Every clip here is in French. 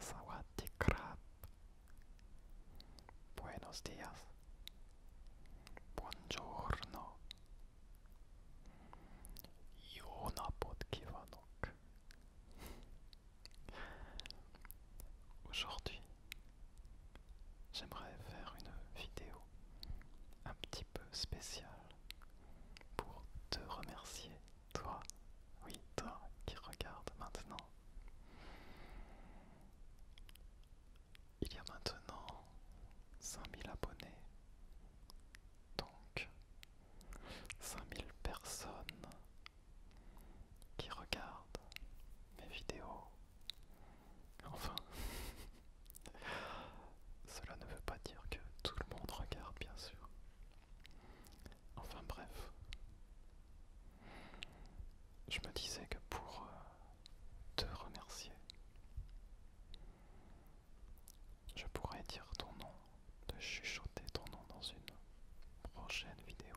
Sawati krab. Buenos días. Buongiorno. Aujourd'hui, j'aimerais faire une vidéo un petit peu spéciale pour te remercier toi, oui, toi qui regarde maintenant. Il y a maintenant 5000 abonnés. Donc, 5000 personnes qui regardent mes vidéos. Enfin, cela ne veut pas dire que tout le monde regarde, bien sûr. Enfin bref. Je me disais que pour euh, te remercier, je pourrais dire ton nom, de chuchoter ton nom dans une prochaine vidéo.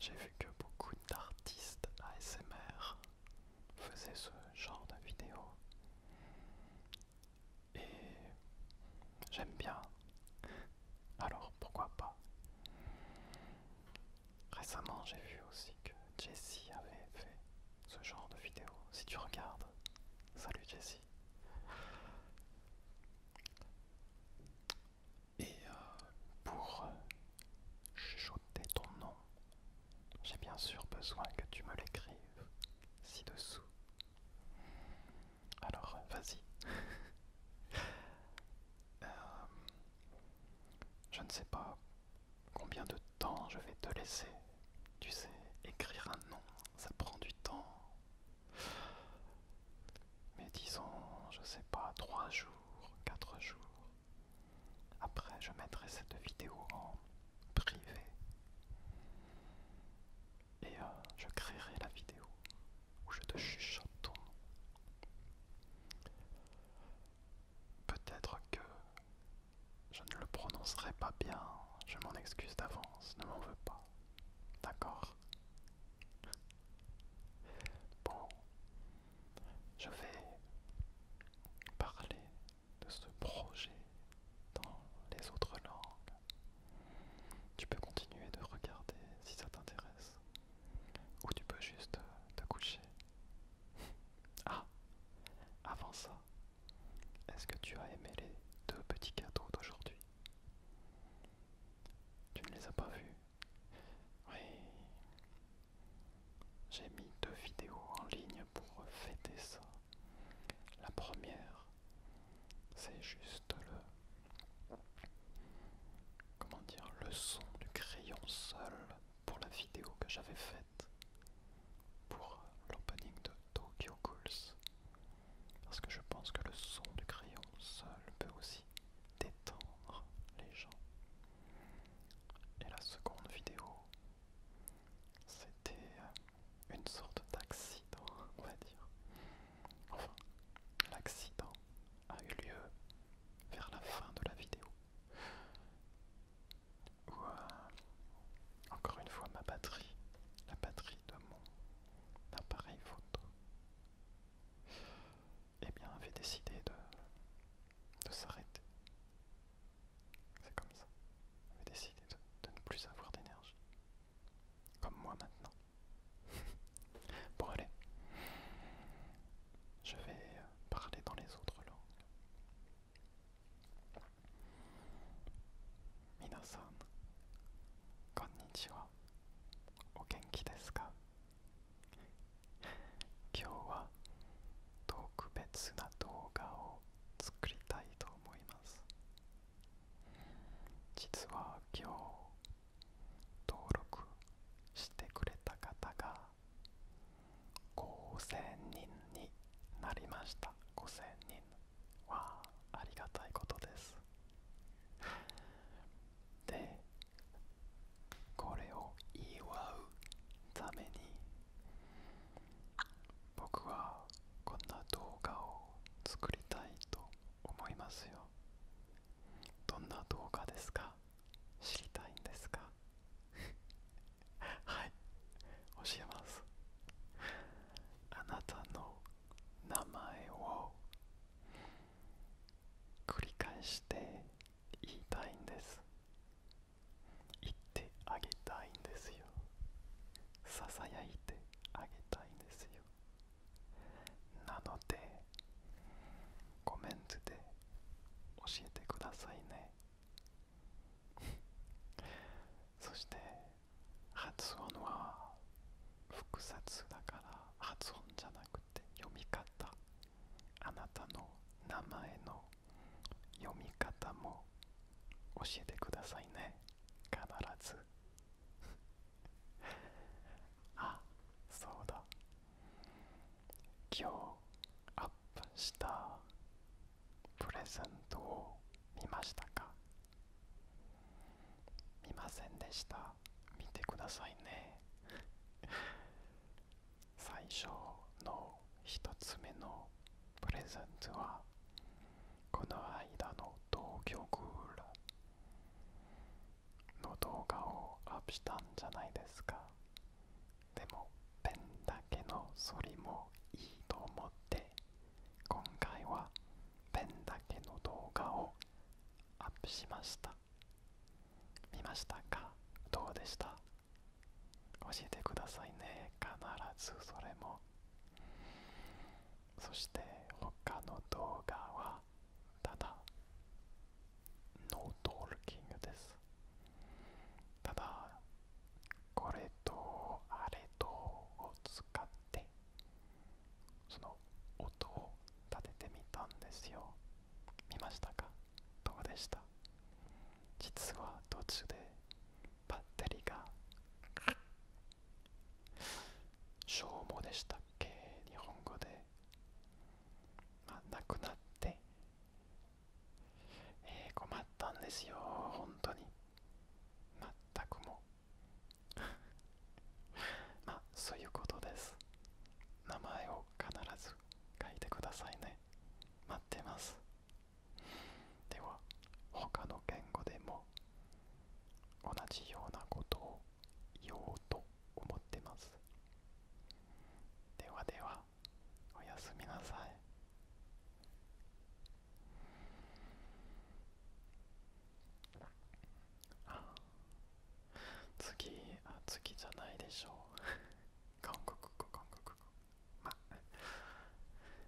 J'ai vu que beaucoup d'artistes ASMR faisaient ce genre de vidéo et j'aime bien. Alors pourquoi pas Récemment j'ai vu aussi que Jessie avait fait ce genre de vidéo. Si tu regardes, salut Jessie. Et euh, pour euh, chuchoter ton nom, j'ai bien sûr besoin que tu me l'écrives ci-dessous alors, vas-y. Euh, je ne sais pas combien de temps je vais te laisser. Tu sais, écrire un nom, ça prend du temps. Mais disons, je sais pas, trois jours, quatre jours. Après, je mettrai cette vidéo en privé et euh, je créerai la vidéo où je te chuchote Peut-être que je ne le prononcerai pas bien, je m'en excuse d'avance, ne m'en veux pas. D'accord Bon, je vais parler de ce projet dans les autres langues. Tu peux continuer de regarder si ça t'intéresse. Ou tu peux juste te coucher. ah, avant ça, est-ce que tu as aimé les deux petits cadeaux d'aujourd'hui Tu ne les as pas vus Oui. J'ai mis deux vidéos en ligne pour fêter ça. La première, c'est juste le... Comment dire Le son du crayon seul pour la vidéo que j'avais faite pour l'opening de Tokyo Ghouls. Parce que je pense que le son du crayon seul peut aussi détendre les gens. Et la seconde vidéo, c'était euh, une sorte d'accident, on va dire. Enfin, l'accident a eu lieu vers la fin de la vidéo. Où, euh, encore une fois, ma batterie, la batterie de mon appareil photo, eh bien, avait décidé de, s'arrêter. C'est comme ça. avait décidé de ne plus avoir d'énergie. Comme moi maintenant. Bon allez, Je vais euh, parler dans les autres langues. Minasan, konnichiwa. O genki desu ka? Aujourd'hui, wa vais na douga vidéo spéciale. 実は今日登録してくれた方が5000人になりました5000人はありがたいことですでこれを祝うために僕はこんな動画を作りたいと思いますよどんな動画ですか知りたいんですか はい教えますあなたの名前を繰り返して言いたいんです言ってあげたいんですよよささやいてあげたいんですよなのでコメントで教えてくださいね そして発音は複雑だから発音じゃなくて読み方あなたの名前の読み方も教えてくださいね必ずあそうだ今日アップしたプレゼントを見ましたか見ませんでした見てくださいね最初の一つ目のプレゼントはこの間の東京クールの動画をアップしたんじゃないですかでもペンだけのそりもいいと思って今回はペンだけの動画をアップしました見ましたかどうでした教えてくださいね必ずそれもそして他の動画はただノートーキングですただこれとあれとを使ってその音を立ててみたんですよ見ましたかどうでした実は途中でバッテリーが消耗でしたっけ日本語で、まあ、亡くなって、え困ったんですよ本当に全くも まあそういうことです名前を必ず書いてくださいね待ってますでは他の言語でも同じようなことを言おうと思ってますではではおやすみなさいあ次あ次じゃないでしょう 韓国語韓国語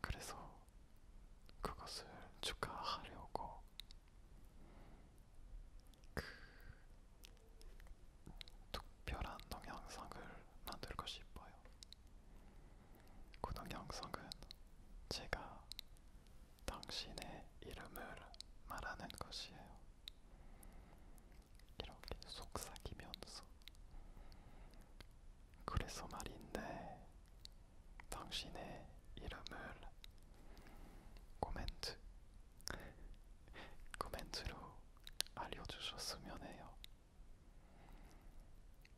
그래서 그것을 축하하려고 그 특별한 동영상을 만들고 싶어요. 그 동영상은 제가 당신의 이름을 말하는 것이에요. 이렇게 속삭이면서 그래서 말인데 당신의 이름을 코멘트 코멘트로 알려주셨으면 해요.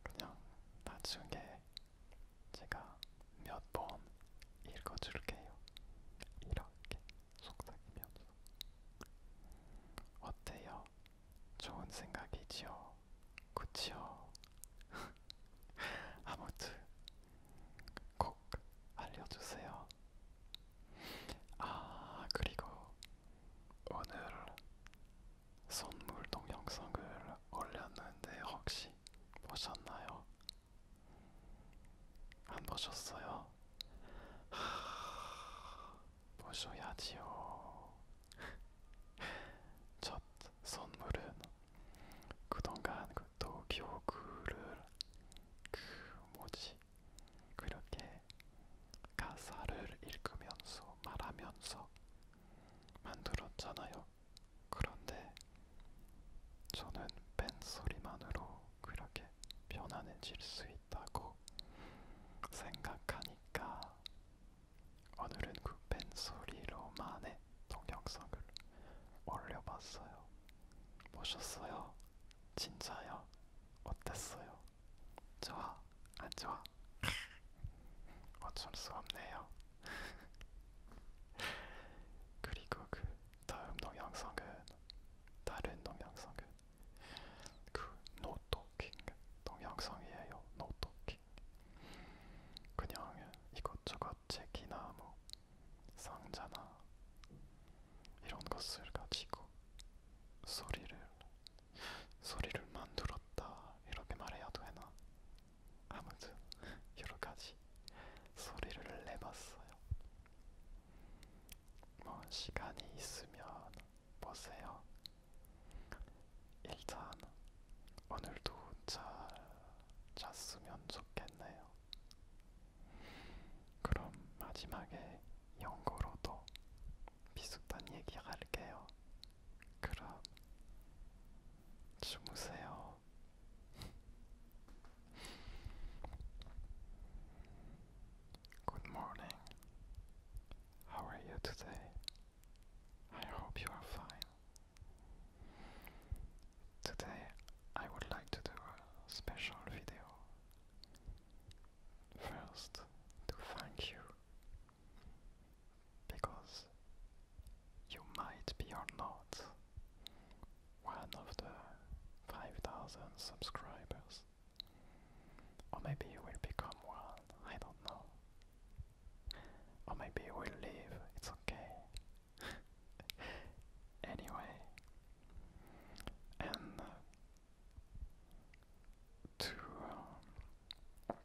그냥 나중에 제가 몇 번 읽어줄게요. 이렇게 속삭이면서 어때요? 좋은 생각이지요. 그치요. 아무튼 꼭 알려주세요. 아 그리고 오늘 선물 동영상을 올렸는데 혹시 보셨나요? 안 보셨어요? 보셔야지요. 첫 선물은 그동안 그 또 교구를 그 뭐지 그렇게 가사를 읽으면서 말하면서 만들었잖아요. 그런데 저는 뺀 소리만으로 그렇게 편안해질 수 있다고 생각하니까 오늘은 그 펜소리로만의 동영상을 올려봤어요. 보셨어요? 진짜요? 어땠어요? 좋아? 안 좋아? 어쩔 수 없네요. 그리고 그 다음 동영상은 다른 동영상은 그 노토킹 동영상이에요. 노토킹. 책 그냥 이것저것 책이나 뭐 상자나 이런 것을 가지고 소리를 소리를 만들었다 이렇게 말해야 되나 아무튼 여러 가지 소리를 내봤어요. 뭐 시간이 있으면 보세요. 일단 오늘도 잘 잤으면 좋겠네요. 그럼 마지막에 영어로도 비슷한 얘기 할게요. 그럼 주무세요. Good morning. How are you today? I hope you are fine. Today I would like to do a special video. First, to thank you. Because you might be or not one of the 5000 subscribers. Or maybe you will become one, I don't know. Or maybe he leave, it's okay. anyway, and uh, to. Um,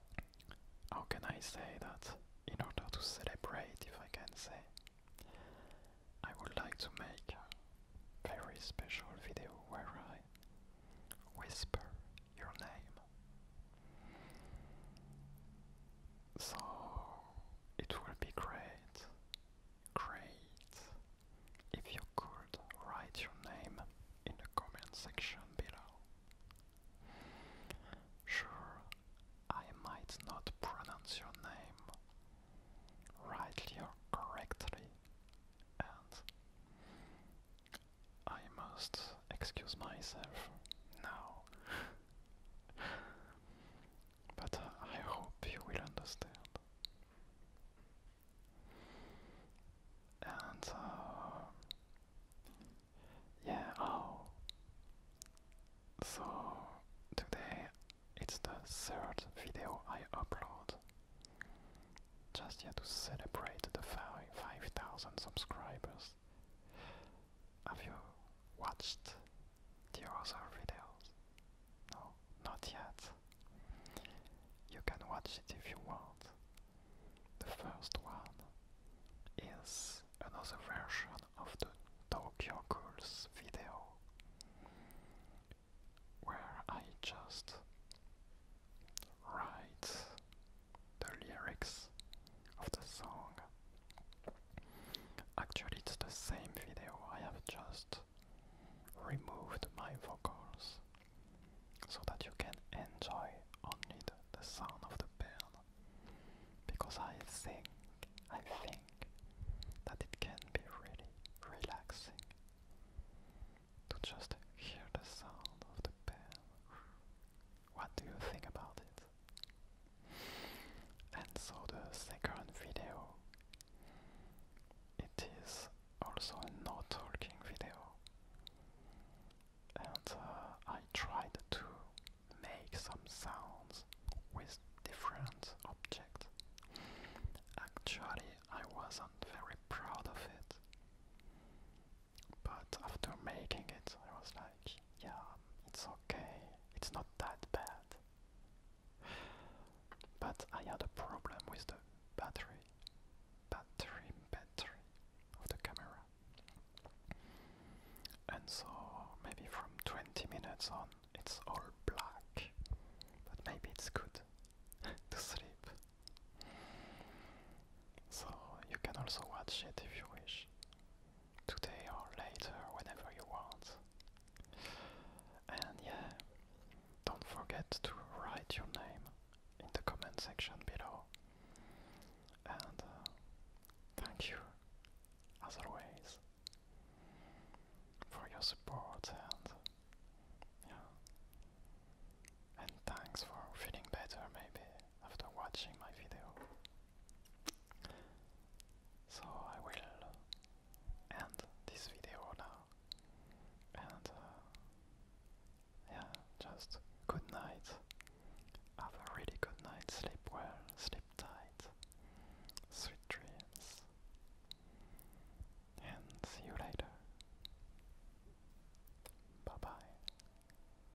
how can I say that? In order to celebrate, if I can say, I would like to make a very special video where I whisper your name. So it will be great, great if you could write your name in the comment section below. Sure, I might not pronounce your name rightly or correctly, and I must excuse myself now. but uh, I hope you will understand. And uh, yeah, oh. So today it's the third video I upload. Just yet to celebrate the 5,000 subscribers. Have you watched the other videos? No, not yet. You can watch it if you want. The first one is another version of the Tokyo Ghouls video where I just write the lyrics of the song. Actually, it's the same video, I have just removed my vocals so that you can enjoy only the, sound of the bell. because I think I think that it can be really relaxing to just hear the sound of the bell. What do you think about it? And so the second video, it is also a talking video, and uh, I tried to make some sounds with different objects. Actually, I wasn't very proud of it. But after making it, I was like, yeah, it's okay, it's not that bad. But I had a problem with the battery, battery, battery of the camera. And so maybe from 20 minutes on, it's all black. But maybe it's good to sleep so you can also watch it if you wish, today or later, whenever you want. And yeah, don't forget to write your name in the comment section below. And uh, thank you, as always, for your support and yeah, and thanks for feeling better maybe after watching my video. So I will end this video now. And uh, yeah, just good night. Have a really good night. Sleep well, sleep tight. Sweet dreams. And see you later. Bye bye.